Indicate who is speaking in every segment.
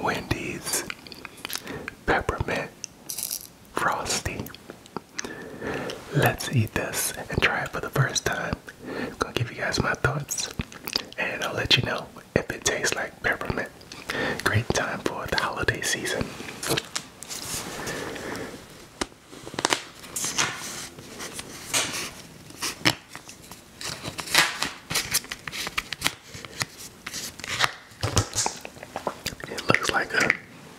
Speaker 1: Wendy's Peppermint Frosty. Let's eat this and try it for the first time. I'm gonna give you guys my thoughts and I'll let you know if it tastes like peppermint. Great time for the holiday season. It looks like a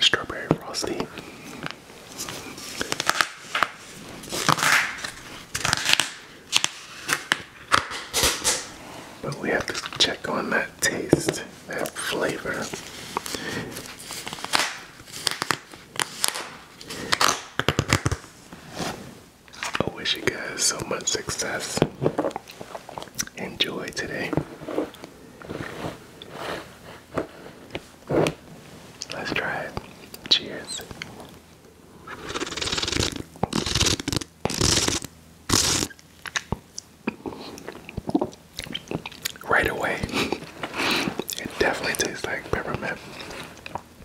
Speaker 1: strawberry frosty. But we have to check on that taste, that flavor. I wish you guys so much success. Enjoy today. Let's try it. Cheers. Right away, it definitely tastes like peppermint.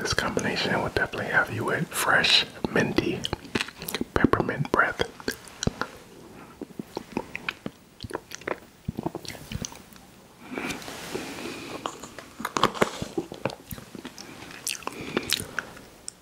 Speaker 1: This combination will definitely have you with fresh, minty, peppermint breath.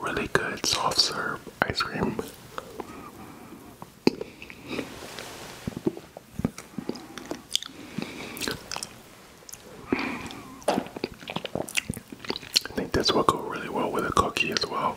Speaker 1: Really good soft serve ice cream. I think this will go really well with a cookie as well.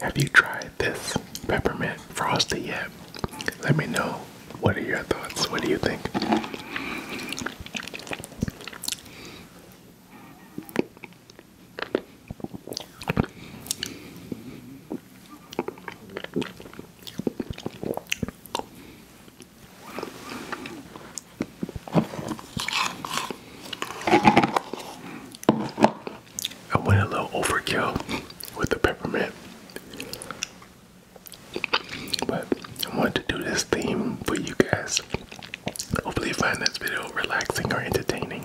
Speaker 1: Have you tried this peppermint frosty yet? Let me know. What are your thoughts? What do you think? I went a little overkill with the peppermint. But I wanted to do this theme for you guys. Hopefully, you find this video relaxing or entertaining.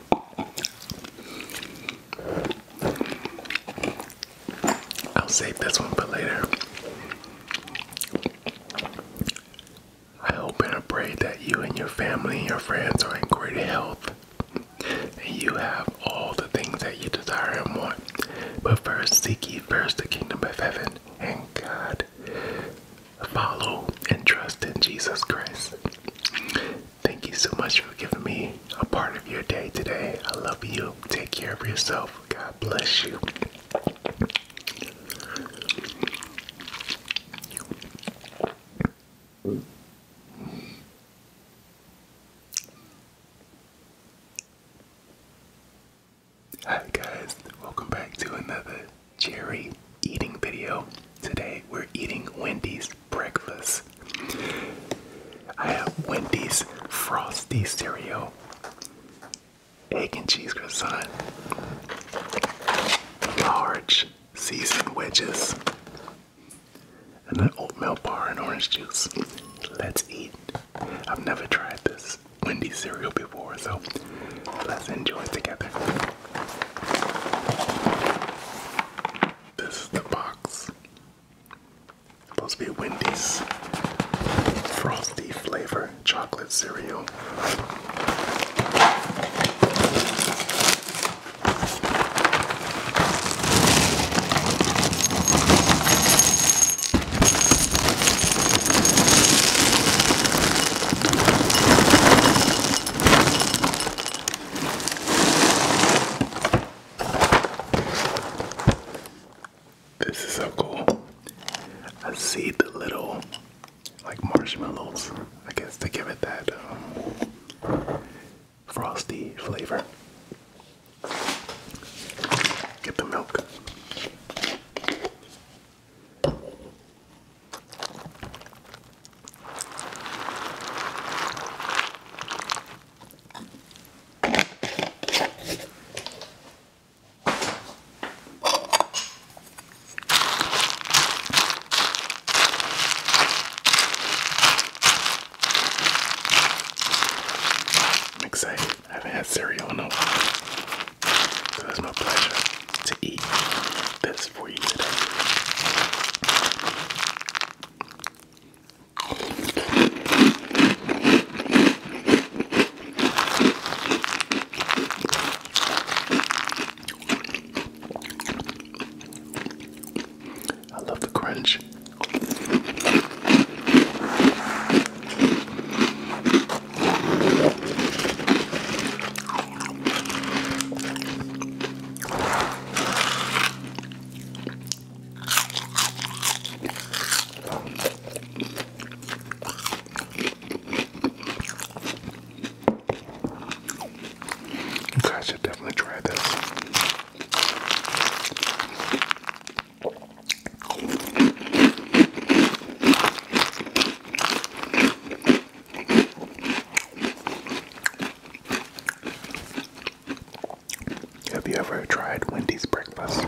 Speaker 1: I'll save this one for later. I hope and I pray that you and your family and your friends are in great health and you have all the things that you desire and want. But first, seek ye first the kingdom of heaven and God follow and trust in Jesus Christ. Thank you so much for giving me a part of your day today. I love you. Take care of yourself. God bless you. Hi guys, welcome back to another Cherry eating video. Today we're eating Wendy's breakfast. I have Wendy's frosty cereal, egg and cheese croissant, large seasoned wedges, and an oatmeal bar and orange juice. Let's eat. I've never tried this Wendy's cereal before, so let's enjoy it together. This is the box. Supposed to be Wendy's frosty flavor chocolate cereal. This is so cool. I see the little like marshmallows. I guess to give it that um, frosty flavor. Get the milk. I'm excited. I haven't had cereal in a while. So that's my pleasure to eat this for you today. I love the crunch. You guys should definitely try this. Have you ever tried Wendy's breakfast?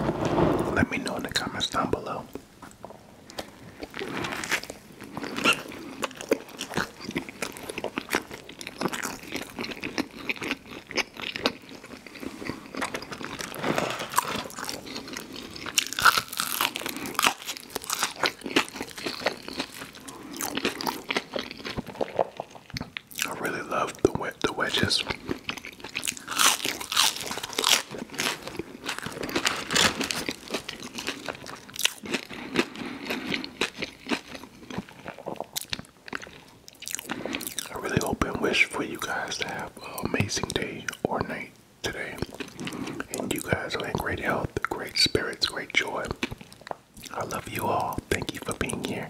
Speaker 1: Let me know in the comments down below. I really love the wet the wedges. I really hope and wish for you guys to have an amazing day or night today. And you guys are in great health, great spirits, great joy. I love you all. Thank you for being here.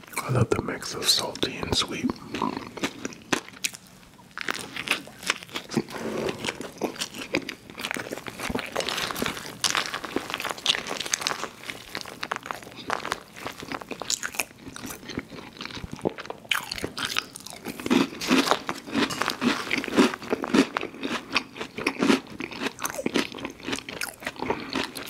Speaker 1: I love the mix of salty and sweet.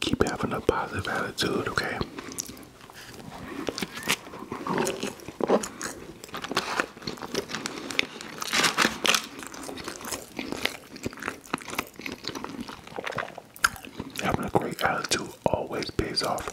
Speaker 1: Keep having a positive attitude, okay? Having a great attitude always pays off.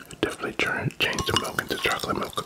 Speaker 1: Definitely turn, change the milk into chocolate milk.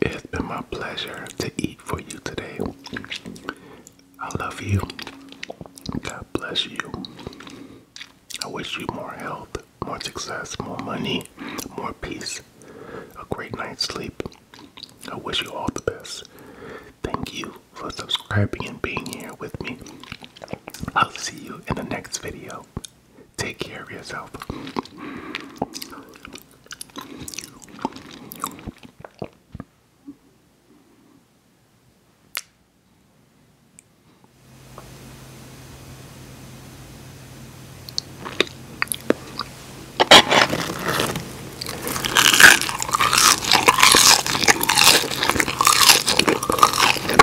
Speaker 1: It's been my pleasure to eat for you today. I love you. God bless you. I wish you more health, more success, more money, more peace, a great night's sleep. I wish you all the best. Thank you for subscribing and being here with me. I'll see you in the next video. Take care of yourself.